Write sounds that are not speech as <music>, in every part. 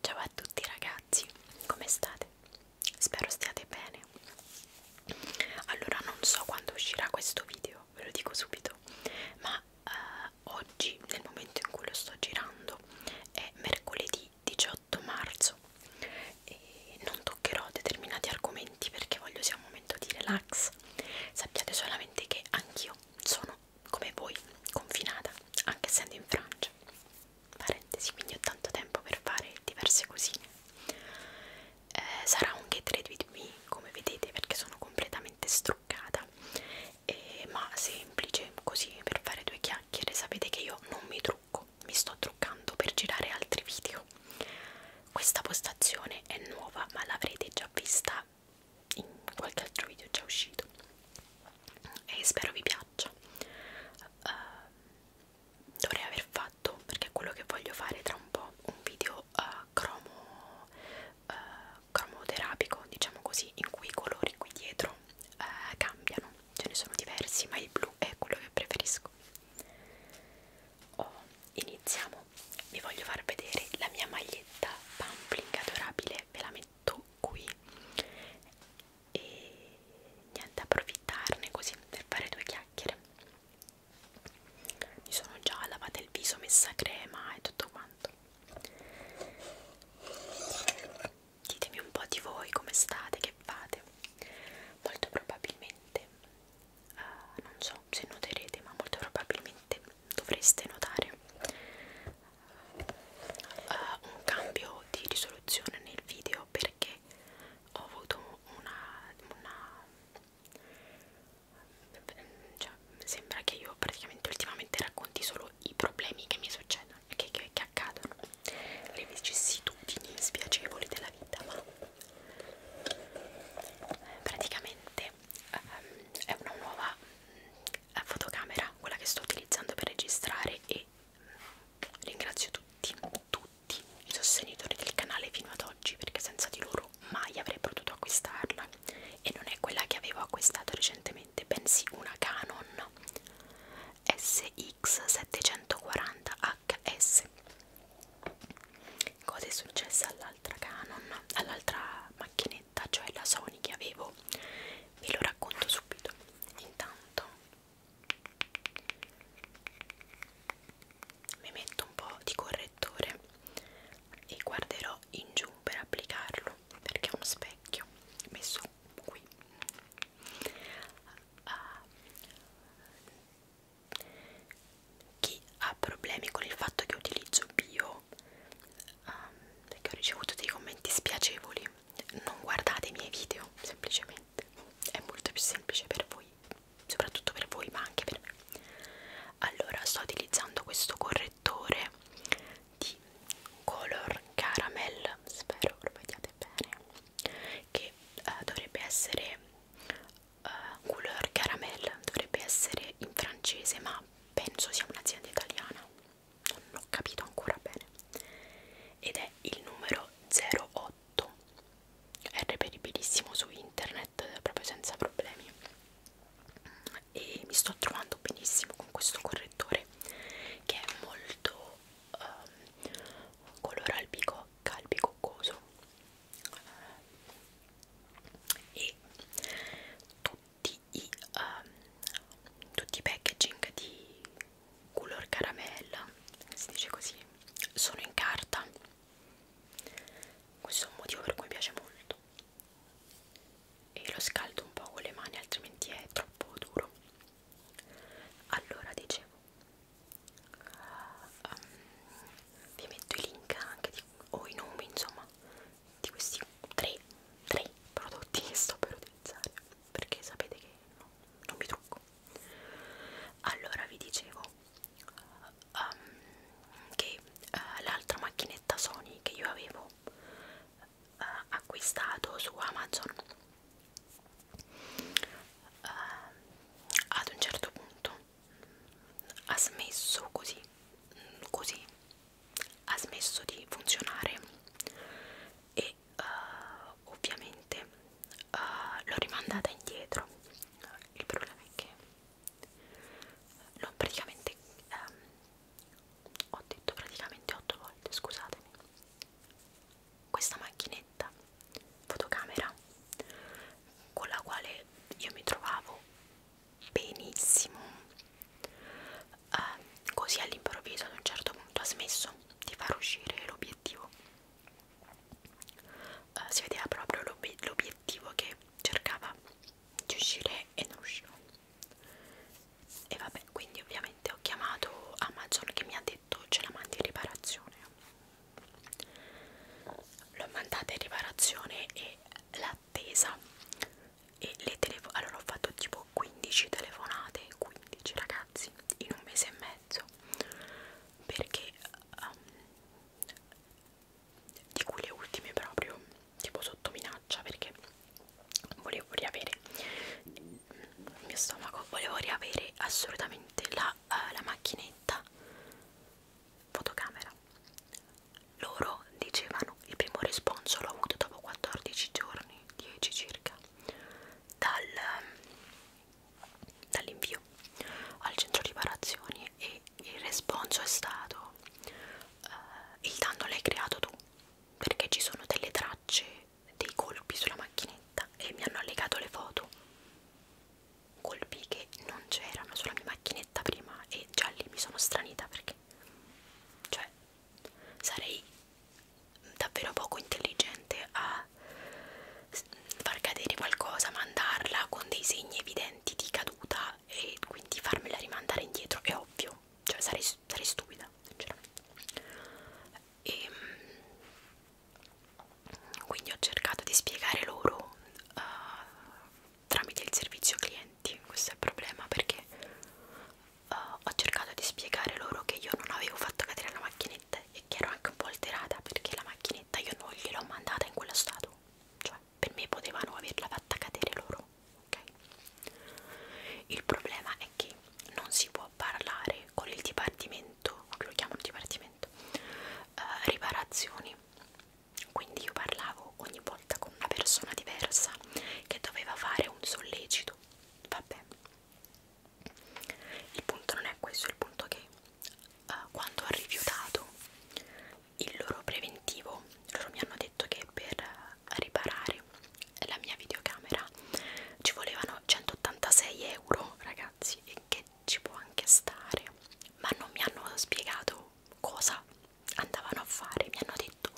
Ciao a tutti ragazzi, come state? Spero stiate bene. Allora non so quando uscirà questo video, ve lo dico subito, ma eh, oggi, nel momento in cui lo sto girando, è mercoledì 18 marzo e non toccherò determinati argomenti perché voglio sia un momento di relax. Sappiate solamente che anch'io sono come voi, confinata, anche essendo in Francia. Parentesi, quindi ho tanto tempo per fare diverse cosine. Eh, sarà un get ready with me, come vedete, perché sono completamente struccata, eh, ma semplice, così per fare due chiacchiere. Sapete che io non mi trucco, mi sto truccando per girare altri video. Questa postazione è nuova, ma l'avrete già vista in qualche altro video già uscito e spero vi piaccia uh, dovrei aver fatto perché è quello che voglio fare tra un po' un video uh, cromo uh, cromoterapico diciamo così in cui i colori qui dietro uh, cambiano ce ne sono diversi ma il blu è quello che preferisco oh, iniziamo vi voglio far vedere la mia maglietta pampling adorabile ve la metto tutto qui e niente approfittarne così per fare due chiacchiere mi sono già lavata il viso messa crema e tutto quanto ditemi un po' di voi come state che fate molto probabilmente uh, non so se noterete ma molto probabilmente dovreste notare uh, un cambio di risoluzione nel video perché ho avuto una, una cioè, sembra che io praticamente ultimamente racconti solo i problemi che mi succedono che, che, che accadono le vicissitudini spiacevoli della vita ma eh, praticamente um, è una nuova fotocamera, quella che sto utilizzando per registrare e ringrazio tutti, tutti i sostenitori del canale fino ad oggi perché senza di loro mai avrei potuto acquistarla e non è quella che avevo acquistato recentemente, bensì una Canon SX740HS cosa è successa all'altra Canon, all'altra macchina macchinetta, cioè la Sony che avevo, ve lo racconto subito. Intanto mi metto un po' di correttore e guarderò in giù per applicarlo perché ho uno specchio messo qui. Uh, chi ha problemi con il fatto che utilizzo bio um, perché ho ricevuto dei commenti spiacevoli non guardate i miei video semplicemente è molto più semplice per voi soprattutto per voi ma anche per me allora sto utilizzando questo correttore di color caramel spero lo vediate bene che uh, dovrebbe essere uh, color caramel dovrebbe essere in francese ma italiana, penso sia un'azienda italiana, non ho capito ancora bene, ed è il numero 08, è reperibilissimo su internet proprio senza problemi e mi sto trovando benissimo con questo correttore che è molto um, ehm, colore albicocca, albicoccoso e tutto tutti i, um, tutti i packaging di color caramella si dice così sono in carta questo è un motivo per cui mi piace molto e lo scaldo un po' con le mani altrimenti è troppo duro allora dicevo um, vi metto i link anche di, o i nomi insomma di questi tre, tre prodotti che sto per utilizzare perché sapete che no, non mi trucco allora vi dicevo um, che uh, l'altra macchinetta Sony che io avevo uh, acquistato su Amazon uh, ad un certo punto ha smesso così, mm, così ha smesso di funzionare e uh, ovviamente uh, l'ho rimandata indietro il problema è che l'ho praticamente um, ho detto praticamente 8 volte scusatemi questa macchinetta fotocamera con la quale io mi trovavo benissimo uh, così all'improvviso ad un certo punto ha smesso di far uscire l'obiettivo uh, si vedeva proprio l'obiettivo che cercava di uscire e non usciva e vabbè quindi ovviamente ho chiamato Amazon che mi ha detto ce la mandi in riparazione l'ho mandata in riparazione e l'attesa e le telefonate allora ho fatto tipo 15 telefonate 15 ragazzi in un mese e mezzo perché um, di cui le ultime proprio tipo sotto minaccia perché volevo riavere il mio stomaco volevo riavere assolutamente la, uh, la macchinetta fotocamera. Loro dicevano il primo risponso l'ho avuto dopo 14 giorni, 10 circa, dal, dall'invio al centro riparazioni e il risponso è stato uh, il danno l'hai creato tu perché ci sono delle tracce dei colpi sulla macchinetta e mi hanno allegato le foto colpi che non c'erano sulla mia macchinetta prima e già lì mi sono stranita perché cioè sarei davvero poco intelligente a far cadere qualcosa, mandarla con dei segni evidenti di caduta e quindi farmela rimandare indietro è ovvio, cioè sarei, sarei stupida sinceramente e ehm, quindi ho cercato di spiegare loro uh, tramite il servizio clienti questo è il problema perché uh, ho cercato di spiegare loro che io non avevo fatto cadere la macchinetta e che ero anche un po' alterata perché la macchinetta io non gliel'ho mandata in quello stato cioè per me potevano averla fatta cadere loro ok il problema è che non si può parlare con il dipartimento divertimento, che lo chiamo un divertimento, eh, riparazioni. Quindi io parlavo ogni volta con una persona diversa che doveva fare un sollecito. Vabbè. Il punto non è questo, il punto è che eh, quando ho rifiutato il loro preventivo, loro mi hanno detto che per eh, riparare la mia videocamera ci volevano 186 euro, ragazzi, e che ci può anche stare, ma non mi hanno spiegato cosa andavano a fare, mi hanno detto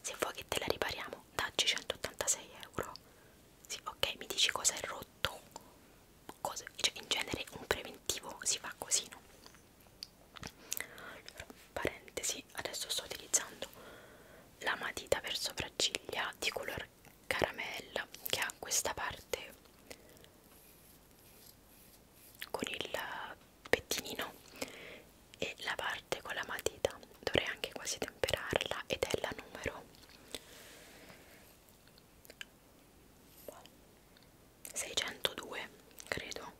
se vuoi che te la ripariamo daggi 186 euro, sì ok mi dici cosa è rotto, cosa, cioè, in genere un preventivo si fa così no? Allora, parentesi, adesso sto utilizzando la matita per sopracciglia di color bar caramella che ha questa parte con il pettinino e la parte con la matita dovrei anche quasi temperarla ed è la numero 602 credo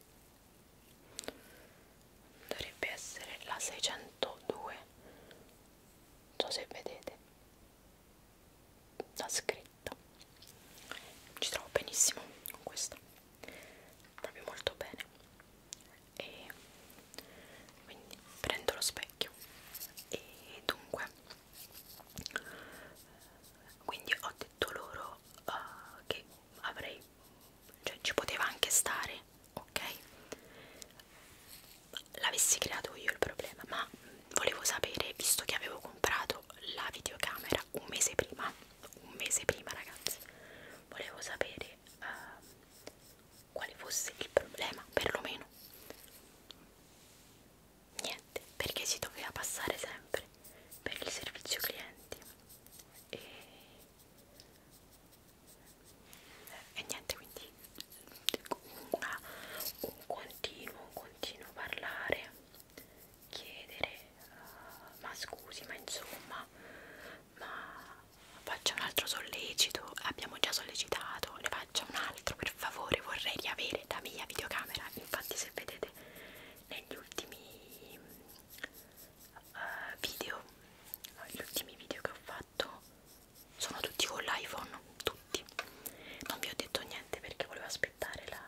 dovrebbe essere la 602 non so se vedete la scritta ci trovo benissimo con questa proprio molto bene e quindi prendo lo specchio e dunque quindi ho detto loro uh, che avrei cioè ci poteva anche stare ok l'avessi creato io il problema, ma volevo sapere, visto che avevo comprato la videocamera un mese prima, un mese prima ragazzi, volevo sapere uh, quale fosse il problema, perlomeno niente, perché si doveva passare sempre per il servizio clienti e, e niente quindi una, un continuo, un continuo parlare, chiedere, uh, ma scusi, ma insomma, ma faccia un altro sollecito, abbiamo già sollecitato, ne faccia un altro, per favore, vorrei riavere la mia videocamera, infatti se vedete negli ultimi uh, video, gli ultimi video che ho fatto sono tutti con l'iPhone, tutti. Non vi ho detto niente perché volevo aspettare la,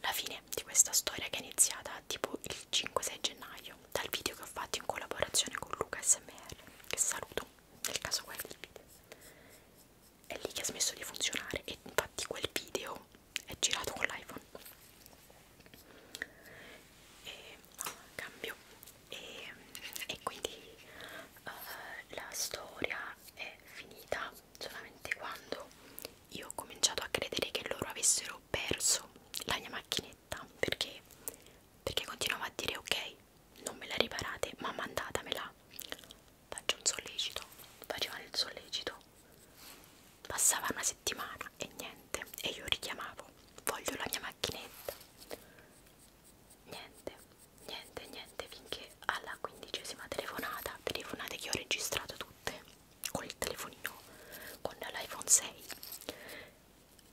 la fine di questa storia che è iniziata tipo il 5-6 gennaio dal video che ho fatto in collaborazione con Luca SMR, che saluto nel caso guardi il video. È lì che ha smesso di funzionare e infatti quel video è girato con l'iPhone. E cambio e, e quindi uh, la storia è finita solamente quando io ho cominciato a credere che loro avessero perso la mia macchinetta perché, perché continuavo a dire ok non me la riparate ma mandatamela faccio un sollecito facevano il sollecito passava una settimana e niente e io richiamavo voglio la mia macchinetta niente, niente, niente finché alla quindicesima telefonata, telefonate che ho registrato tutte con il telefonino, con l'iPhone 6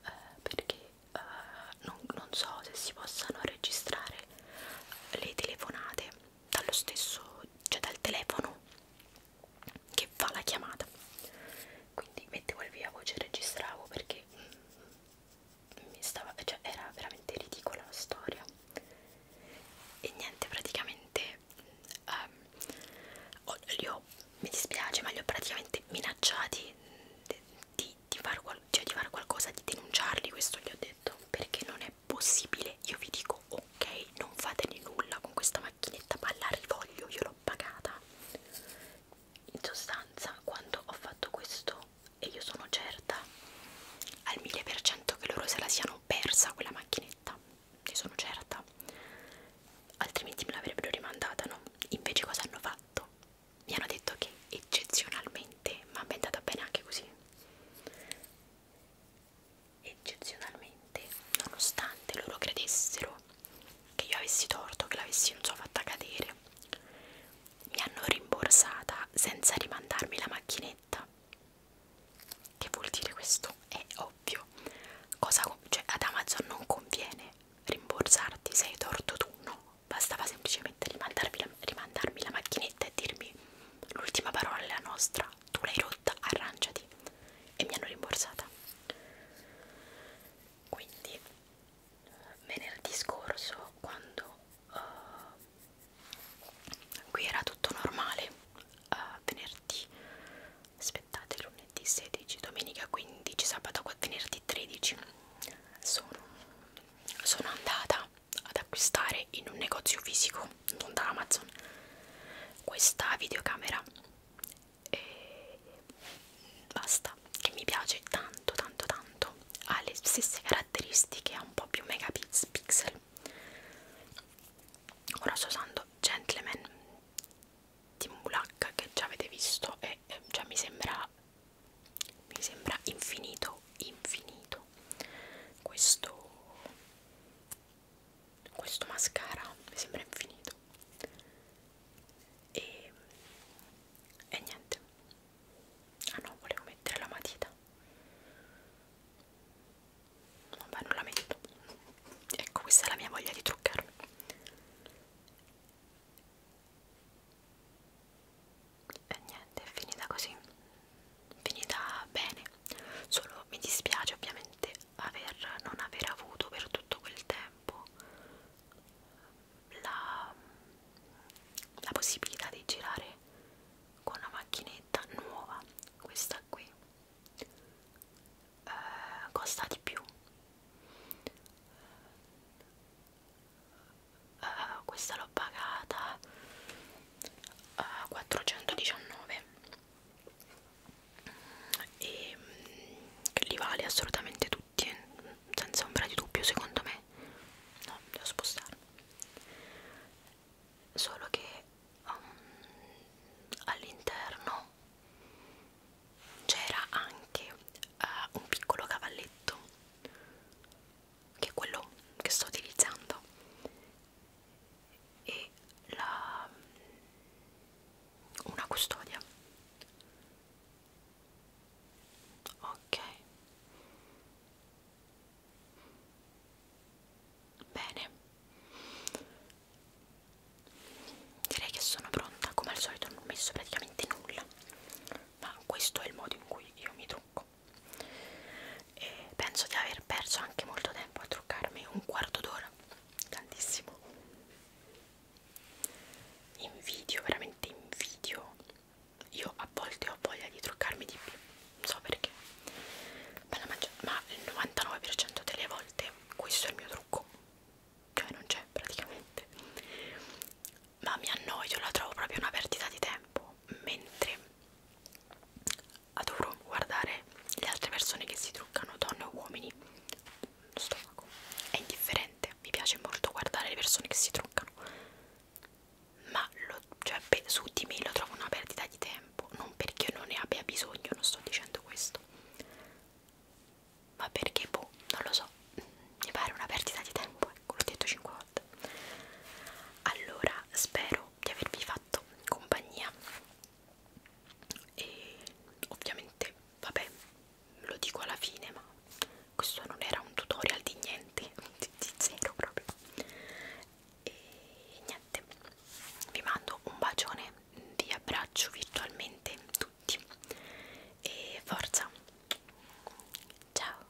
eh, perché eh, non, non so se si possano registrare le telefonate dallo stesso, cioè dal telefono che fa la chiamata quindi mettevo il via voce e registravo perché mi stava, cioè era veramente ridicola la storia e niente praticamente um, ho, li ho, mi dispiace ma li ho praticamente minacciati di, di, far qual, cioè di fare qualcosa di denunciarli questo gli ho detto perché non è possibile io vi dico ok non fatene nulla con questa macchinetta ma la rivoglio io l'ho pagata in sostanza quando ho fatto questo e io sono certa al 1000% che loro se la siano persa quella macchinetta ne sono certa altrimenti me l'avrebbero rimandata no? invece cosa hanno fatto? mi hanno detto che eccezionalmente ma mi è andata bene anche così eccezionalmente nonostante loro credessero che io avessi torto, che l'avessi non so fatta cadere. Mi hanno rimborsata senza rimandarmi la macchinetta. Che vuol dire questo? È ovvio. Cosa, cioè, ad Amazon non conviene rimborsarti se hai torto tu, no. Bastava semplicemente rimandarmi la, rimandarmi la macchinetta e dirmi l'ultima parola è la nostra, tu l'hai rotta, arrangiati. E mi hanno rimborsata quindi venerdì scorso quando uh, qui era tutto normale uh, venerdì aspettate lunedì 16 domenica 15 sabato venerdì 13 sono, sono andata ad acquistare in un negozio fisico non da Amazon questa videocamera e basta che mi piace tanto tanto tanto ha le stesse caratteristiche ha un po' più megapixel ora sto usando Gentleman di Mulak che già avete visto e, e cioè mi sembra mi sembra infinito infinito questo questo mascara mi sembra infinito e, e niente ah no volevo mettere la matita vabbè non la metto ecco questa è la mia voglia di truccarmi e niente è finita così finita bene solo mi dispiace ovviamente aver, non aver avuto per tutto quel tempo la, la possibilità di girare con una macchinetta nuova, questa qui eh, costa di più. Uh, questa l'ho pagata a uh, 419 e che mm, li vale assolutamente tutti eh. senza ombra di dubbio secondo me no devo spostarlo solo che um, all'interno c'era anche uh, un piccolo cavalletto che è quello che sto utilizzando e la, mm, una custodia ok bene direi che sono pronta come al solito non ho messo praticamente nulla ma questo è il modo in cui io mi trucco e penso di aver perso anche molto tempo a truccarmi un quarto d'ora tantissimo invidio veramente invidio io a volte ho voglia di truccarmi di più non so perché ma, la ma il 99% delle volte questo è il mio trucco cioè non c'è praticamente ma mi annoio la trovo proprio una perdita di tempo mentre adoro guardare le altre persone che si truccano, donne o uomini. Lo stomaco è indifferente, mi piace molto guardare le persone che si truccano, ma lo, cioè, su di me lo trovo una perdita di tempo, non perché io non ne abbia bisogno, non sto dicendo questo, ma perché boh, non lo so, mi pare una perdita di tempo, ecco, l'ho detto 5 volte. Allora, spero di avervi fatto compagnia e ovviamente vabbè lo dico alla fine ma questo non era un tutorial di niente <laughs> di, di zero proprio e niente vi mando un bacione vi abbraccio virtualmente tutti e forza ciao